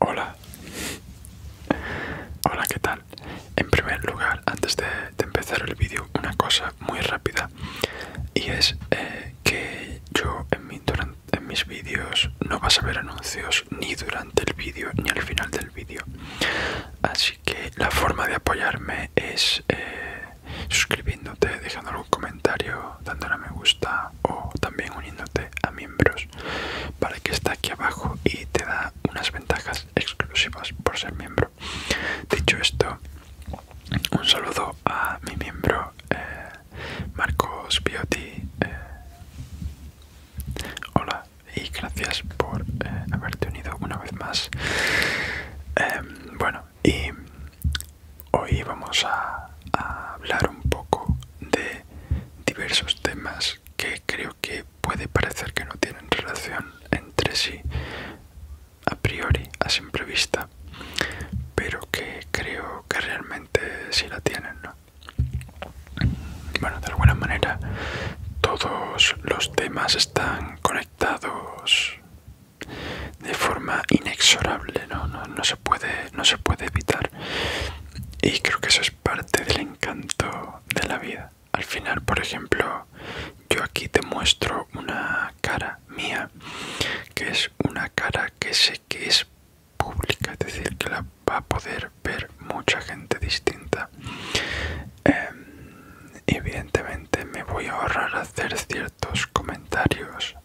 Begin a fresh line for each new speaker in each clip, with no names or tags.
Hola, hola, ¿qué tal? En primer lugar, antes de, empezar el vídeo, una cosa muy rápida y es eh, que yo en, mis vídeos no vas a ver anuncios ni durante el vídeo ni al final del vídeo. Así que la forma de apoyarme es eh, suscribiéndote, dejando algún comentario, dándole a me gusta o también uniéndote a miembros para que está aquí abajo y te da unas ventajas exclusivas por ser miembro. Dicho esto, un saludo a mi miembro eh, Marcos Bioti. Eh, hola y gracias por eh, haberte unido una vez más. Em, bueno, y hoy vamos a hablar un poco de diversos temas que creo que puede parecer que no tienen relación entre sí a priori, a simple vista, pero que creo que realmente sí la tienen. ¿no? Bueno, de alguna manera todos los temas están conectados de forma inexorable, ¿no? no, se puede, no se puede evitar. Y creo que eso es parte del encanto de la vida. Al final, por ejemplo, yo aquí te muestro una cara mía, que es una cara que sé que es pública, es decir, que la va a poder ver mucha gente distinta. Em, evidentemente me voy a ahorrar hacer ciertos comentarios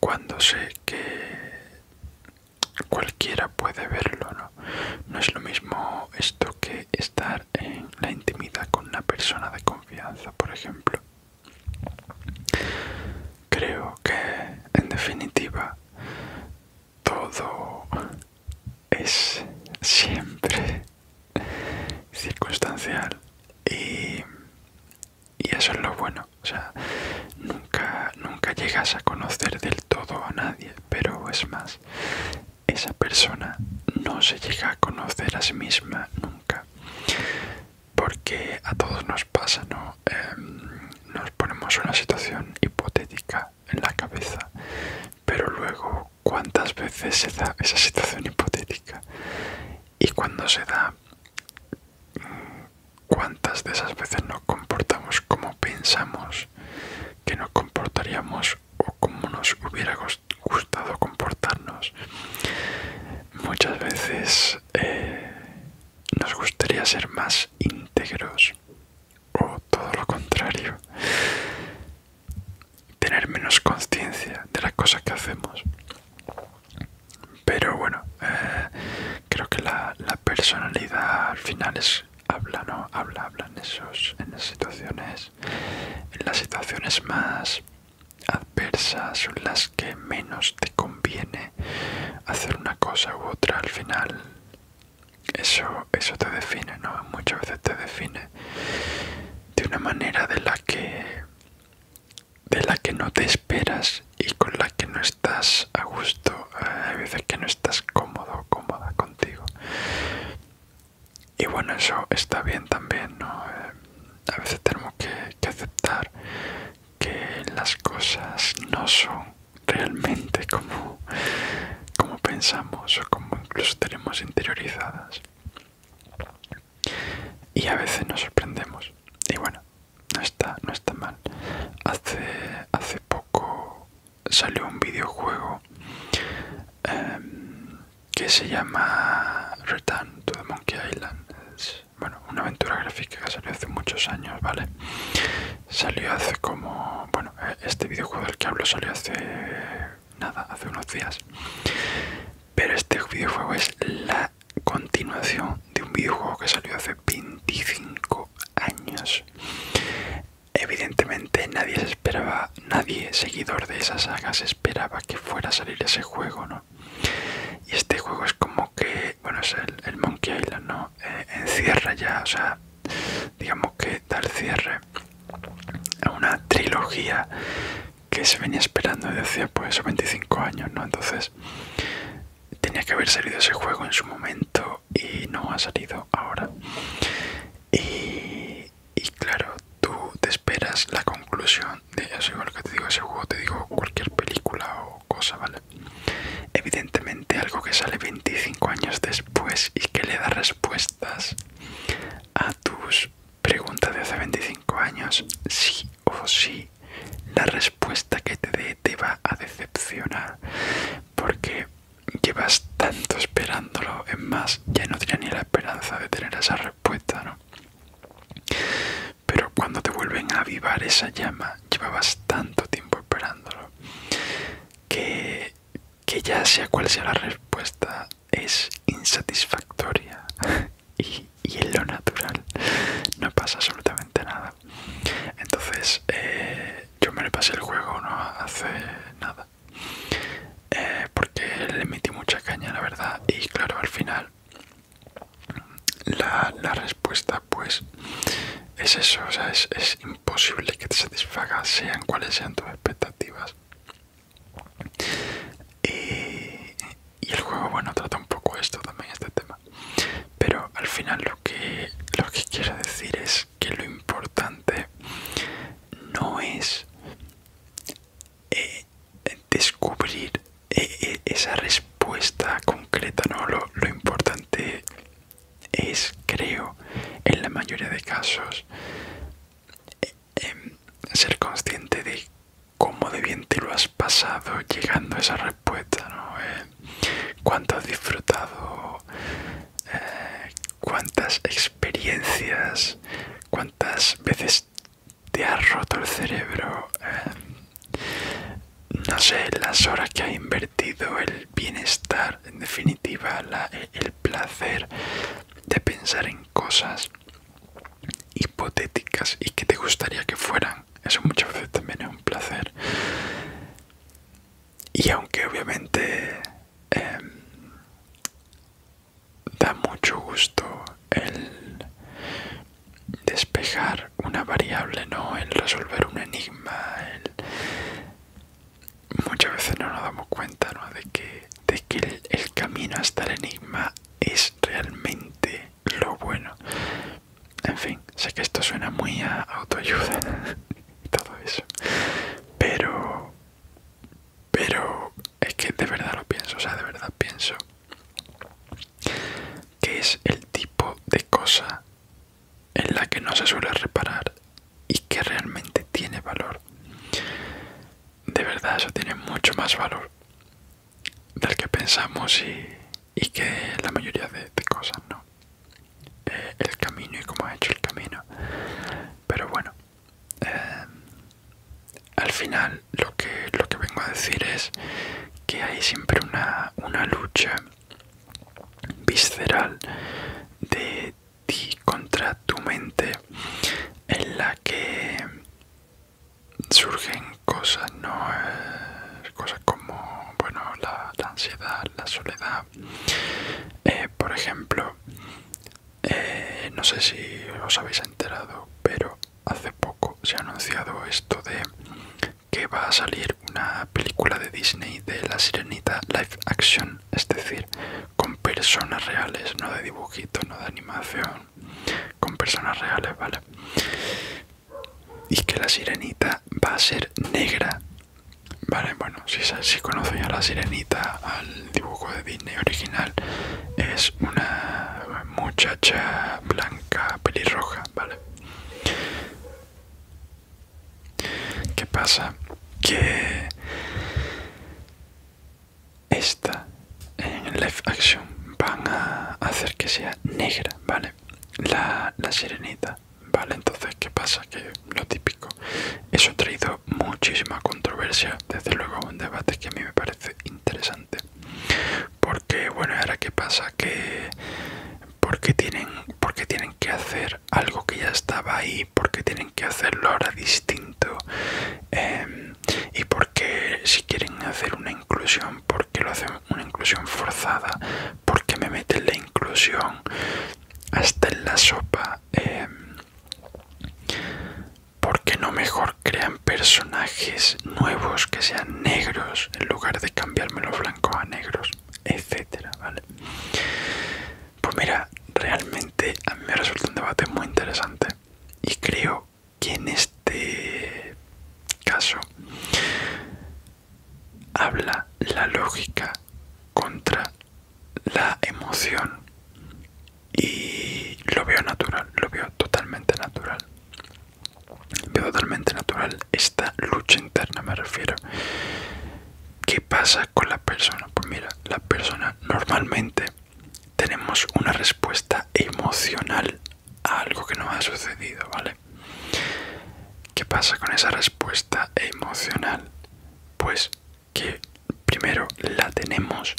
cuando sé que cualquiera puede verlo, ¿no? No es lo mismo esto que estar en la intimidad con una persona de confianza, por ejemplo. Creo que, en definitiva, todo es siempre circunstancial y y eso es lo bueno o sea nunca nunca llegas a conocer del todo a nadie pero es más esa persona no se llega a conocer a sí misma nunca porque a todos nos pasa no em, nos ponemos una situación hipotética en la cabeza pero luego cuántas veces se da esa situación hipotética y cuando se da cuántas de esas veces nos comportamos como pensamos que nos comportaríamos o como nos hubiera gustado comportarnos. Muchas veces eh, nos gustaría ser más íntegros o todo lo contrario, tener menos conciencia de las cosas que hacemos. Pero bueno, eh, creo que la, personalidad al final es habla, ¿no? Habla, habla en, esos, en las situaciones. En las situaciones más adversas son las que menos te conviene hacer una cosa u otra. Al final eso, eso te define, ¿no? Muchas veces te define de una manera de la que de la que no te esperas y con la que no estás a gusto, eh, A veces que no estás cómodo, o cómoda contigo. Y bueno, eso está bien también, ¿no? Eh, a veces tenemos que, aceptar que las cosas no son realmente como, como pensamos o como incluso tenemos interiorizadas. Y a veces nos sorprendemos. Y bueno, no está, no está mal. Hace, hace poco salió un videojuego em, que se llama Return to the Monkey Island. bueno, una aventura gráfica que salió hace muchos años, ¿vale? Salió hace como... Bueno, e, este videojuego del que hablo salió hace... Nada, hace unos días. Pero este videojuego es la continuación de un videojuego que salió hace 25 años. Evidentemente nadie se esperaba, nadie seguidor de esas sagas esperaba que fuera a salir ese juego, ¿no? Y este juego es como que, bueno, es el, Monkey Island, ¿no? Eh, encierra ya, o sea, digamos que da el cierre a una trilogía que se venía esperando desde hace pues 25 años, ¿no? Entonces tenía que haber salido ese juego en su momento y no ha salido ahora. Y, claro, tú te esperas la conclusión de eso, igual que te digo ese juego, te digo cualquier película o cosa, ¿vale? Evidentemente algo que sale 25 años después y que le da respuestas a tus preguntas de hace 25 años, sí o sí, la respuesta que te dé te va a decepcionar porque llevas tanto esperándolo, es más, ya no tienes ni la esperanza de tener esa respuesta, ¿no? Pero cuando te vuelven a avivar esa llama, llevabas tanto tiempo esperándolo que, que ya sea cual sea la respuesta, es insatisfactoria y, y en lo natural no pasa absolutamente nada. Entonces, eh, yo me le pasé el juego no hace nada. Eh, porque le metí mucha caña, la verdad. Y claro, al final, la, respuesta, pues, es eso. O sea, es, imposible que te satisfaga, sean cuáles sean tus expectativas. Y, y el juego, bueno, trata un poco esto también, este tema pero al final lo que lo que quiero decir es que lo importante no es eh, descubrir eh, eh, esa respuesta concreta no lo, importante es creo en la mayoría de casos em, ser consciente de cómo de bien te lo has pasado llegando a esa poeta, ¿no? Eh. ¿Cuánto has disfrutado? Eh, ¿Cuántas experiencias? ¿Cuántas veces te ha roto el cerebro? Eh, no sé, las horas que ha invertido, el bienestar, en definitiva, el placer de pensar en cosas hipotéticas y que te gustaría que fueran eso muchas veces también es un placer. Y aunque obviamente em, da mucho gusto el despejar una variable, El resolver un enigma, Muchas veces no nos damos cuenta, De que, el camino hasta el enigma es realmente lo bueno. En fin, sé que esto suena muy a autoayuda y todo eso. Pero... Pero es que de verdad lo pienso, o sea, de verdad pienso que es el tipo de cosa en la que no se suele reparar y que realmente tiene valor. De verdad, eso tiene mucho más valor del que pensamos y, y que la mayoría de, cosas no eh, el camino y cómo ha hecho el camino pero bueno eh, al final lo que lo que vengo a decir es que hay siempre una, una lucha visceral de ti contra tu mente en la que surgen cosas no cosas como bueno la, ansiedad la soledad eh, por ejemplo eh, no sé si os habéis enterado pero hace poco se ha anunciado esto de que va a salir una película de Disney de la sirenita live action es decir con personas reales no de dibujitos no de animación con personas reales vale y que la sirenita va a ser negra. Vale, bueno, si, si conocen a la sirenita, al dibujo de Disney original, es una muchacha blanca pelirroja, ¿vale? ¿Qué pasa? Que esta en live action van a hacer que sea negra, ¿vale? la, la sirenita, ¿vale? Entonces, ¿qué pasa? Que lo típico, eso ha traído muchísima controversia, desde luego un debate que a mí me parece interesante. Porque, bueno, ahora qué pasa, que porque tienen, porque tienen que hacer algo que ya estaba ahí, porque tienen que hacerlo ahora distinto, em, y porque si quieren hacer una inclusión, porque lo hacen una inclusión forzada, porque me meten la inclusión hasta en la sopa, ¿Por em, porque no mejor crean personajes nuevos que sean negros en lugar de cambiarme los blancos a negros, etcétera, Pues mira, realmente a mí me resulta un debate muy interesante y creo que en este caso habla la lógica contra la emoción y lo veo natural, lo veo totalmente natural. Veo totalmente natural esta lucha interna, me refiero. ¿Qué pasa con la persona? Pues mira, la persona normalmente tenemos una respuesta emocional algo que no ha sucedido, ¿vale? ¿Qué pasa con esa respuesta emocional? Pues que primero la tenemos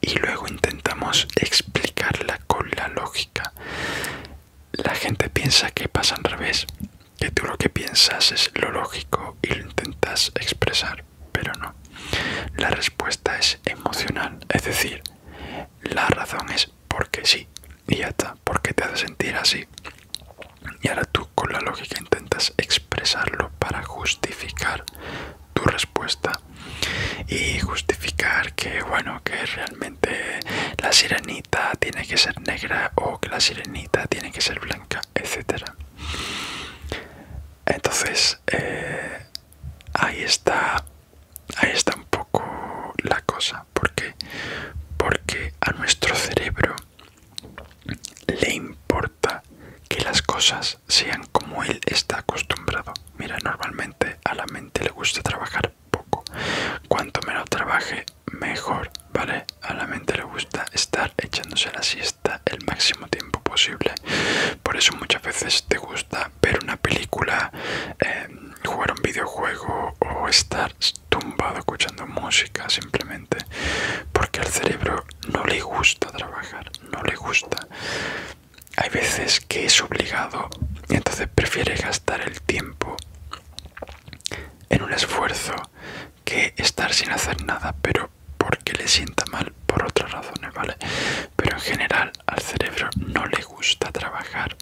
y luego intentamos explicarla con la lógica. La gente piensa que pasa al revés, que tú lo que piensas es lo lógico y lo intentas expresar, pero no. La respuesta es emocional, es decir, la razón es porque sí y ya está, porque te hace sentir así. Y ahora tú con la lógica intentas expresarlo para justificar tu respuesta y justificar que bueno que realmente la sirenita tiene que ser negra o que la sirenita tiene que ser blanca etc. entonces eh, ahí está ahí está un poco la cosa porque porque a nuestro cerebro le importa que las cosas sean como él está acostumbrado mira normalmente a la mente le gusta trabajar poco cuanto menos trabaje mejor vale a la mente le gusta estar echándose la siesta el máximo tiempo posible por eso muchas veces te gusta ver una película eh, jugar un videojuego o estar tumbado escuchando música simplemente porque al cerebro no le gusta trabajar, no le gusta. Hay veces que es obligado y entonces prefiere gastar el tiempo en un esfuerzo que estar sin hacer nada, pero porque le sienta mal por otras razones, ¿vale? Pero en general al cerebro no le gusta trabajar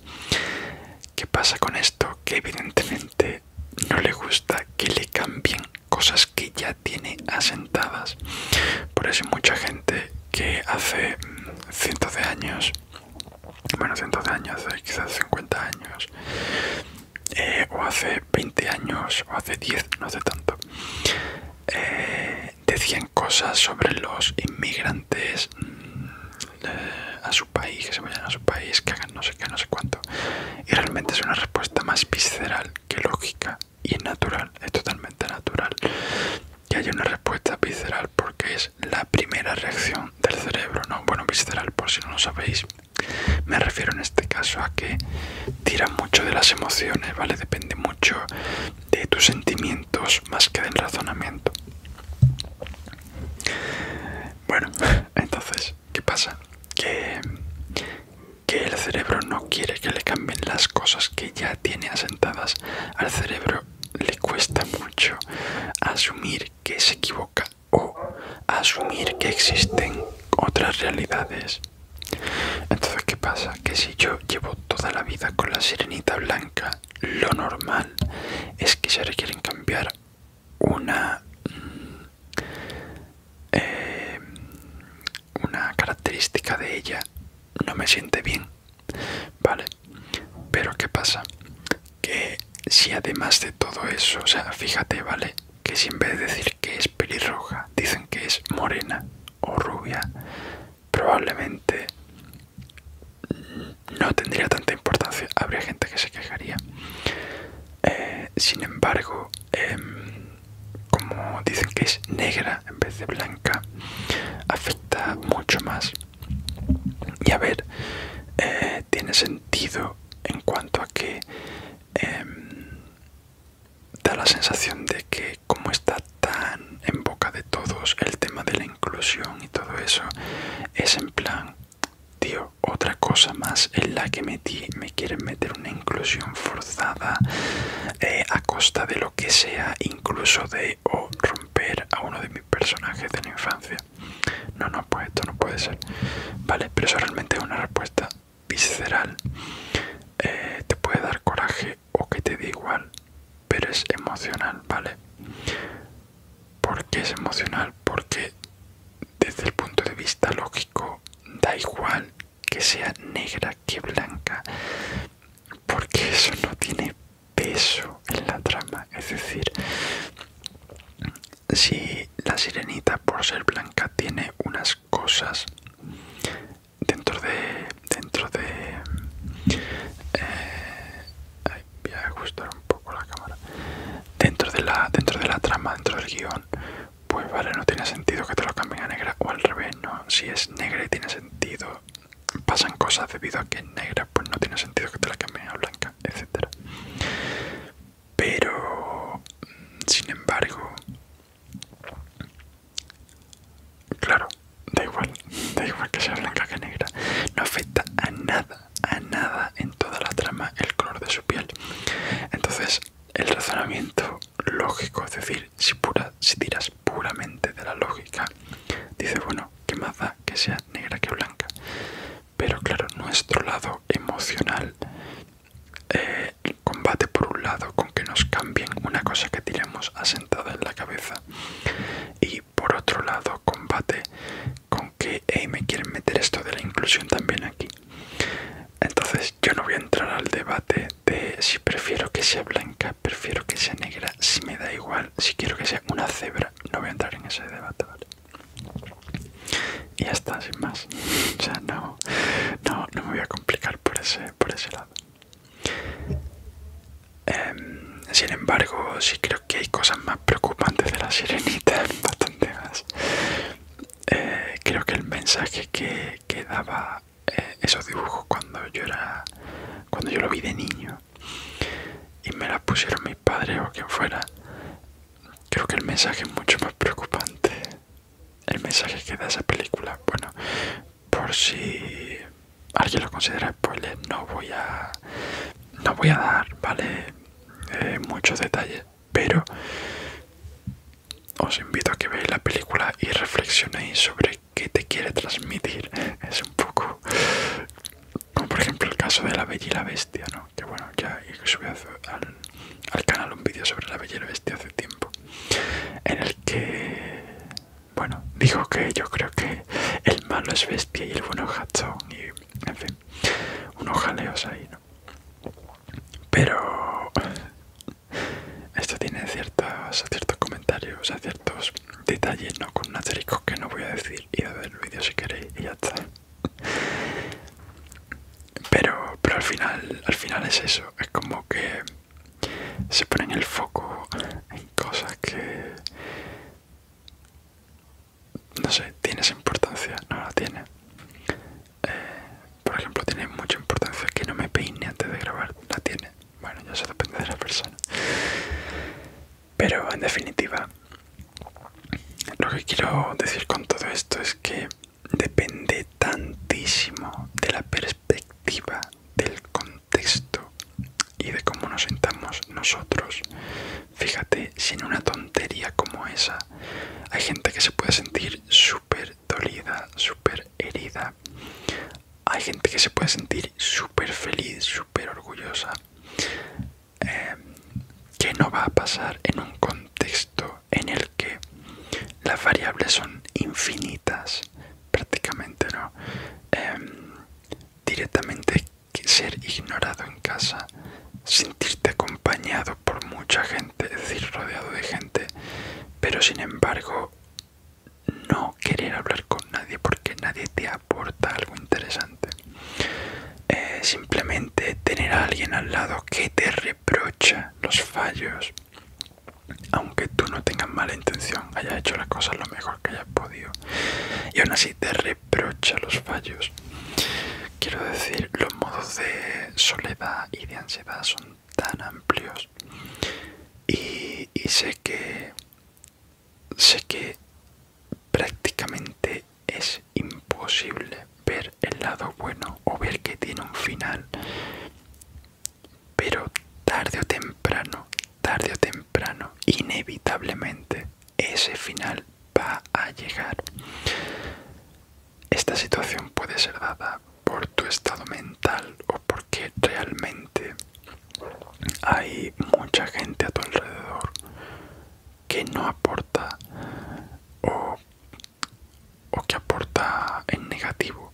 ¿Qué pasa con esto? Que evidentemente no le gusta que le cambien cosas que ya tiene asentadas. Por eso mucha gente que hace mm, cientos de años, bueno, cientos de años, eh, quizás 50 eh, años, o hace 20 años, o hace 10, no sé tanto, eh, decían cosas sobre los inmigrantes mm, eh, a su país, que se vayan a su país, que hagan no sé qué, no sé cuánto. Y realmente es una respuesta más visceral que lógica y natural, es totalmente natural que haya una respuesta visceral porque es la primera reacción del cerebro, ¿no? Bueno, visceral por si no lo sabéis. Me refiero en este caso a que tira mucho de las emociones, ¿vale? Depende mucho de tus sentimientos más que del razonamiento. Bueno, entonces, ¿qué pasa? Que, el cerebro no quiere que le cambien las cosas que ya tiene asentadas. Al cerebro le cuesta mucho asumir que se equivoca o asumir que existen otras realidades. Entonces, ¿qué pasa? Que si yo llevo toda la vida con la sirenita blanca lo normal es que si ahora quieren cambiar mm, eh, una característica de ella no me siente bien vale pero qué pasa que si además de todo eso o sea fíjate vale que si en vez de decir que es pelirroja dicen que es morena o rubia probablemente no tendría tanta importancia, habría gente que se quejaría. Eh, sin embargo, em, como dicen que es negra en vez de blanca, afecta mucho más. Y a ver, eh, tiene sentido en cuanto a que em, da la sensación de que como está tan en boca de todos el tema del inclusión y todo eso, es en plan, tío, otra cosa más en la que metí, me quieren meter una inclusión forzada eh, a costa de lo que sea, incluso de o romper a uno de mis personajes de la infancia. No, no, pues esto no puede ser. Vale, pero eso realmente es una respuesta visceral. Eh, te puede dar coraje o que te dé igual, pero es emocional, ¿vale? porque es emocional, porque desde el punto de vista lógico da igual que sea negra que blanca, porque eso no tiene peso en la trama, es decir, si la sirenita por ser blanca tiene unas cosas dentro de dentro de eh, voy a ajustar un poco la cámara dentro de la dentro de la trama dentro del guión pues vale no tiene sentido que te lo cambien a negra o al revés no si es negra y tiene sentido pasan cosas debido a que es negra pues no tiene sentido que te la cambien a blanca etcétera pero sin embargo claro da igual, da igual que sea blanca que negra, no afecta a nada, a nada en toda la trama el color de su piel. Entonces, el razonamiento lógico, es decir, si, pura, si tiras puramente de la lógica, dice, bueno, qué más da que sea negra que blanca. Pero claro, nuestro lado emocional eh, combate por un lado con que nos cambien una cosa que tiramos asentada en la cabeza. Y por otro lado combate con que me quieren meter esto de la inclusión también aquí. Entonces yo no voy a entrar al debate de si prefiero que sea blanca, prefiero que sea negra, si me da igual, si quiero que sea una cebra, no voy a entrar en ese debate, Y ya está, sin más. O sea, no, no, no me voy a complicar por ese, por ese lado. Em, sin embargo, sí creo que hay cosas más preocupantes de la sirenita, bastante más. Eh, creo que el mensaje que, daba eh, esos dibujos cuando yo era cuando yo lo vi de niño y me la pusieron mis padres o quien fuera, creo que el mensaje es mucho más preocupante. El mensaje que da esa película, bueno, por si alguien lo considera spoiler, no voy a, no voy a dar, ¿vale? Eh, muchos detalles, pero os invito a que veáis la película y reflexionéis sobre qué te quiere transmitir. Es un poco como por ejemplo el caso de la Bella y la Bestia, Que bueno, ya subí al, canal un vídeo sobre la Bella y la Bestia hace tiempo, en el que, bueno, digo que yo creo que el malo es bestia y el bueno es y en fin, unos jaleos ahí, ¿no? Pero esto tiene ciertos, ciertos comentarios, a ciertos detalles, ¿no? Con un que no voy a decir, y a ver el vídeo si queréis y ya está. Pero, pero al final, al final es eso, es como que se ponen el foco en cosas que no sé, tienes importancia, no la tiene. Eh, por ejemplo, tiene mucha importancia que no me peine antes de grabar, la tiene. Bueno, ya eso depende de la persona. Pero en definitiva, lo que quiero decir con todo esto es que depende tantísimo de la perspectiva, del contexto y de cómo nos sentamos nosotros. Fíjate, sin una tontería como esa, hay gente que se puede sentir súper dolida, súper herida. Hay gente que se puede sentir súper feliz, súper orgullosa. Em, que no va a pasar en un contexto en el que las variables son infinitas prácticamente no em, directamente que ser ignorado en casa, sentirte acompañado por mucha gente, es decir, rodeado de gente, pero sin embargo no querer hablar con nadie porque nadie te aporta algo interesante. Eh, simplemente tener a alguien al lado que te reprocha los fallos, aunque tú no tengas mala intención, hayas hecho las cosas lo mejor que hayas podido, y aún así te reprocha brocha los fallos. Quiero decir, los modos de soledad y de ansiedad son tan amplios y, y sé que sé que prácticamente es imposible ver el lado bueno o ver que tiene un final pero tarde o temprano tarde o temprano, inevitablemente, ese final va a llegar. Esta situación puede ser dada por tu estado mental o porque realmente hay mucha gente a tu alrededor que no aporta o, que aporta en negativo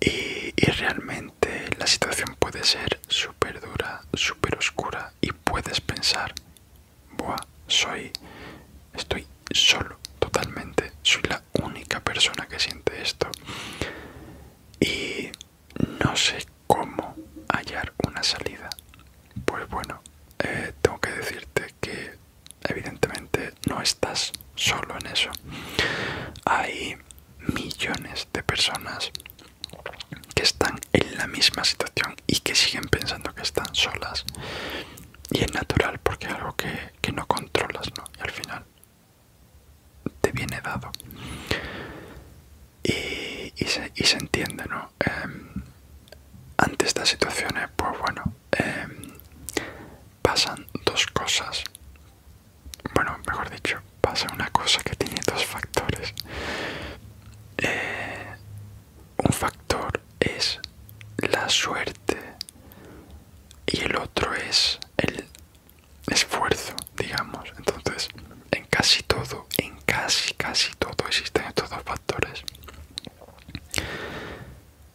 y realmente la situación puede ser super súper dura, súper oscura y puedes pensar, buah, soy, estoy solo totalmente, soy la única persona que siente esto y no sé cómo hallar una salida. Pues bueno, eh, tengo que decirte que evidentemente no estás solo en eso. Hay millones de personas que están en la misma situación y que siguen pensando que están solas y es natural porque es algo que, no controlas ¿no? y al final te viene dado y, y, se, y se entiende ¿no? Em, ante estas situaciones pues bueno em, pasan dos cosas bueno, mejor dicho, pasa una cosa que tiene dos factores. Eh, un factor es la suerte y el otro es el esfuerzo, digamos. Entonces, en casi todo, en casi, casi todo existen estos dos factores.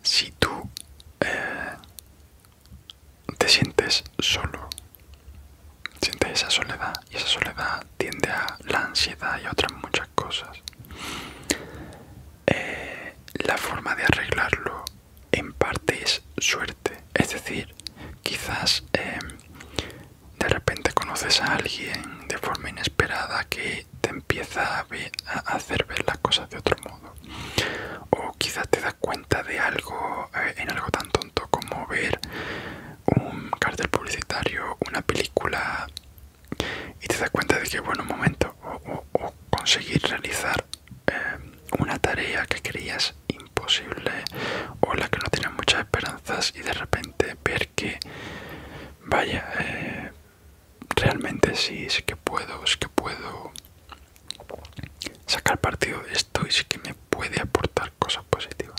Si tú eh, te sientes solo Siente esa soledad y esa soledad tiende a la ansiedad y otras muchas cosas. Eh, la forma de arreglarlo en parte es suerte, es decir, quizás eh, de repente conoces a alguien de forma inesperada que te empieza a, hacer ver las cosas de otro modo, o quizás te das cuenta de algo eh, en algo tan tonto como ver un cartel publicitario, una película y te das cuenta de que, bueno, un momento, o, conseguir realizar eh, una tarea que creías imposible o la que no tienes muchas esperanzas y de repente ver que, vaya, eh, realmente sí, es que puedo, es que puedo sacar partido de esto y sí que me puede aportar cosas positivas.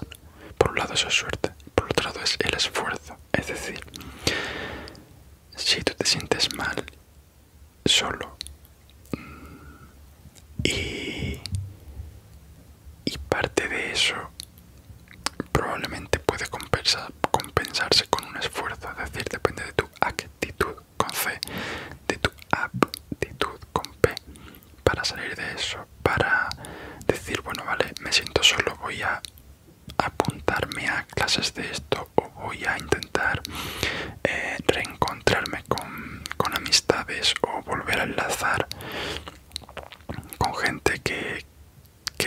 Por un lado eso es suerte, por otro lado es el esfuerzo. Es decir, si tú te sientes mal, solo mm, y, parte de eso probablemente puede compensarse con un esfuerzo, es decir, depende de tu actitud con C, de tu actitud con P, para salir de eso, para decir, bueno, vale, me siento solo, voy a apuntarme a clases de esto o voy a intentar eh, reencontrarme con, amistades o volver a enlazar con gente que,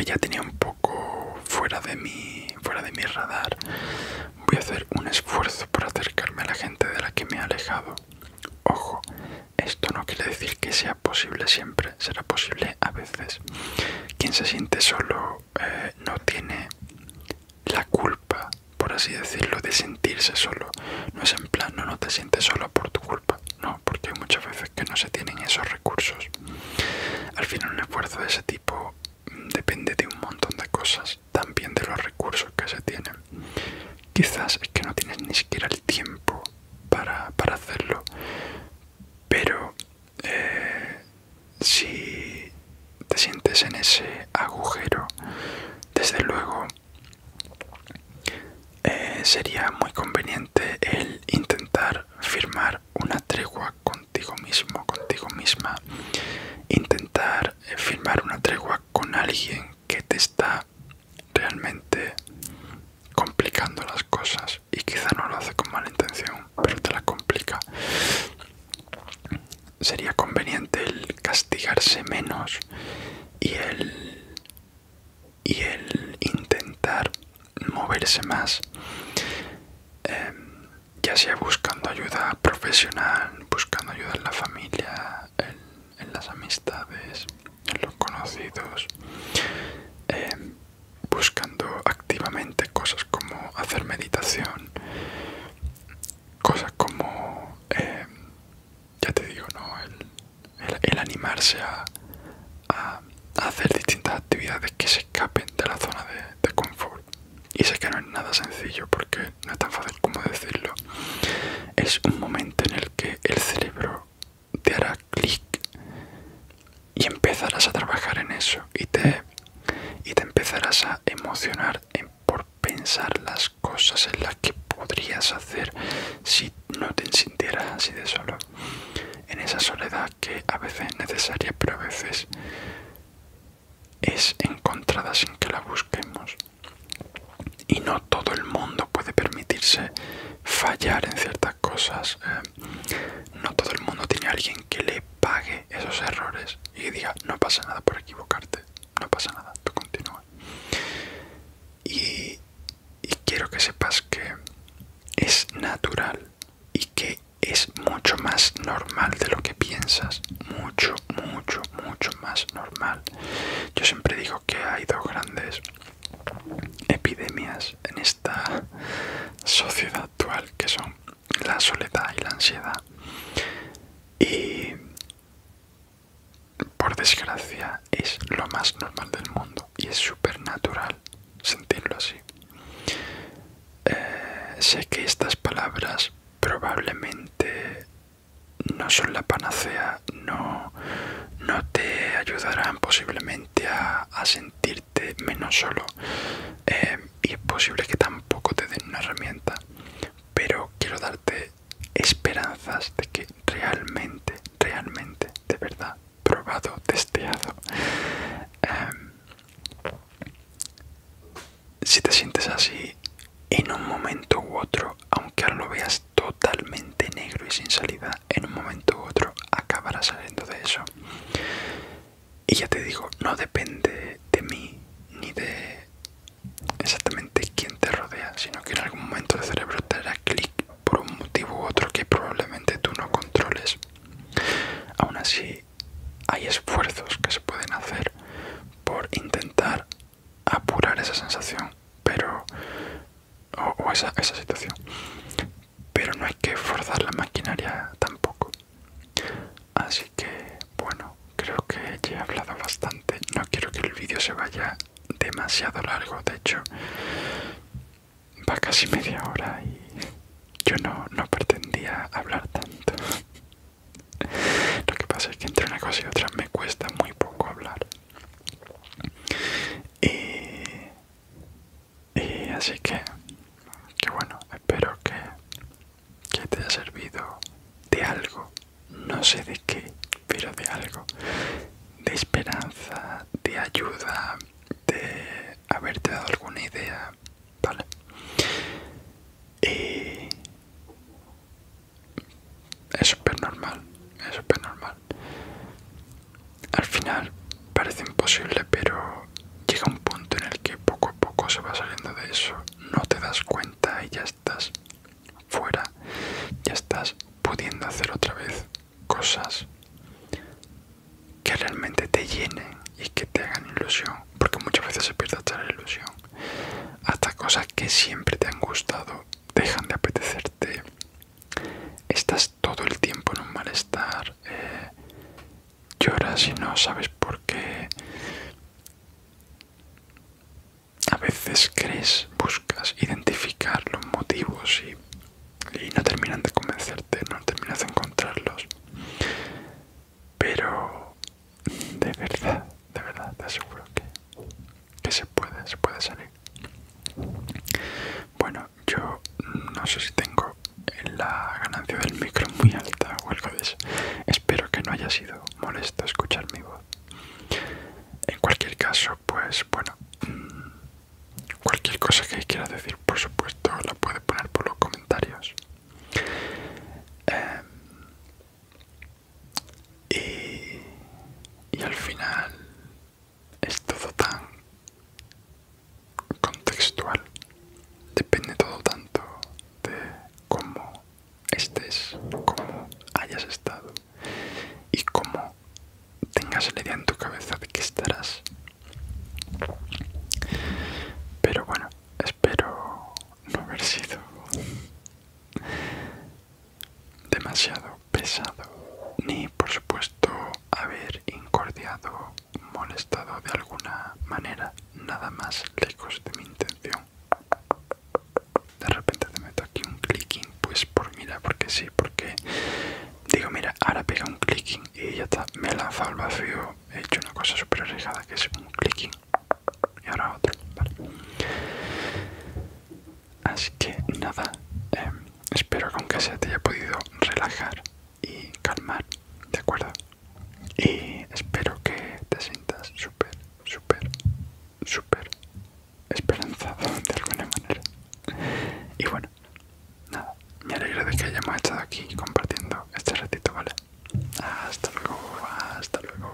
ya tenía un poco fuera de fuera de mi radar voy a hacer un esfuerzo por acercarme a la gente de la que me he alejado Ojo, esto no quiere decir que sea posible siempre, será posible a veces. Quien se siente solo eh, no tiene la culpa, por así decirlo, de sentirse solo. No es en plano, no, no te sientes solo por tu culpa, no, porque hay muchas veces que no se tienen esos recursos. Al final un esfuerzo de ese tipo mm, depende de un montón de cosas, también de los recursos que se tienen. Quizás es que no tienes ni siquiera el tiempo para, hacerlo. Pero eh, si te sientes en ese agujero, desde luego eh, sería muy conveniente el intentar firmar una tregua contigo mismo, contigo misma. Intentar eh, firmar una tregua con alguien que te está realmente complicando las cosas y quizá no lo hace con mala intención pero te la complica sería conveniente el castigarse menos y el y intentar moverse más em, ya sea buscando ayuda profesional buscando ayuda en la familia en las amistades, en los conocidos, em, buscando activamente cosas como hacer meditación, cosas como, em, ya te digo, ¿no? el, animarse a, hacer distintas actividades que se escapen de la zona de, de confort. Y sé que no es nada sencillo porque no es tan fácil como decirlo. Es un momento en el que el cerebro te hará clic y empezarás a trabajar en eso y te, y te empezarás a emocionar por pensar las cosas en las que podrías hacer si no te sintieras así de solo. En esa soledad que a veces es necesaria pero a veces es encontrada sin que la busquemos y no todo el mundo puede permitirse fallar en ciertas cosas. Eh, no todo el mundo tiene alguien que le pague esos errores y diga no pasa nada por equivocarte, no pasa nada, tú continúa. y quiero que sepas que es natural y que es mucho más normal de lo que piensas, mucho mucho, mucho, más normal. Yo siempre digo que hay dos grandes epidemias en esta sociedad actual que son la soledad y la ansiedad. Y por desgracia es lo más normal del mundo y es supernatural natural sentirlo así. Eh, sé que estas palabras probablemente no son la panacea, no, no te ayudarán posiblemente a, sentirte menos solo em, y es posible que tampoco te den una herramienta, pero quiero darte esperanzas de que realmente, realmente, de verdad, probado, testeado, em, si te sientes así, en un momento u otro, aunque ahora lo veas totalmente negro y sin salida, en un momento u otro acabará saliendo de eso. Y ya te digo, no depende de mí ni de exactamente quién te rodea, sino que en algún momento el cerebro te hará clic por un motivo u otro que probablemente tú no controles. Aún así, hay esfuerzos que se pueden hacer por intentar apurar esa sensación, pero o, esa, esa situación. Pero no hay que forzar la maquinaria tampoco. Así que, bueno, creo que ya he hablado bastante. No quiero que el vídeo se vaya demasiado largo. De hecho, va casi media hora y yo no, no pretendía hablar tanto. Lo que pasa es que entre una cosa y otra me cuesta muy poco hablar. Y, así que, que bueno, espero que, que te haya servido de algo, no sé de qué, pero de algo, de esperanza, de ayuda, de haberte dado alguna idea, ¿vale? Y, es súper normal, es súper normal. Al final parece imposible, pero llega un punto en el que poco a poco se va saliendo de eso, no te das cuenta y ya estás fuera, ya estás pudiendo hacer otra vez cosas que realmente te llenen y que te hagan ilusión, porque muchas veces se pierde hasta la ilusión, hasta cosas que siempre te han gustado dejan de apetecerte, estás todo el tiempo en un malestar, eh, lloras y no sabes por qué. A veces crees, buscas identificar los motivos y, y no terminan de convencerte, no terminas de encontrarlos. Pero de verdad, de verdad te aseguro que que se puede, se puede salir. Bueno, yo no sé si tengo la ganancia del micro muy alta o algo de eso. Espero que no haya sido molesto escuchar mi voz. En cualquier caso, pues bueno, mm, cualquier cosa que quieras decir, por supuesto, la puedes poner por los comentarios. Em, y, y al final es todo tan contextual depende todo tanto de cómo estés cómo hayas estado y cómo tengas la idea en tu cabeza de que estarás pero bueno espero no haber sido demasiado pesado, ni por supuesto haber incordiado, molestado de alguna manera, nada más lejos de mi intención. De repente te meto aquí un clicking, pues por mira, porque sí, porque digo, mira, ahora pega un clicking y ya está, me he lanzado al vacío, he hecho una cosa súper arriesgada que es un clicking y ahora otro, vale. Así que nada, em, espero con que se te haya podido relajar y calmar, ¿de acuerdo? Y espero que te sientas súper, súper, súper esperanzado de alguna manera. Y bueno, nada, me alegro de que hayamos estado aquí compartiendo este ratito, ¿vale? Hasta luego, hasta luego.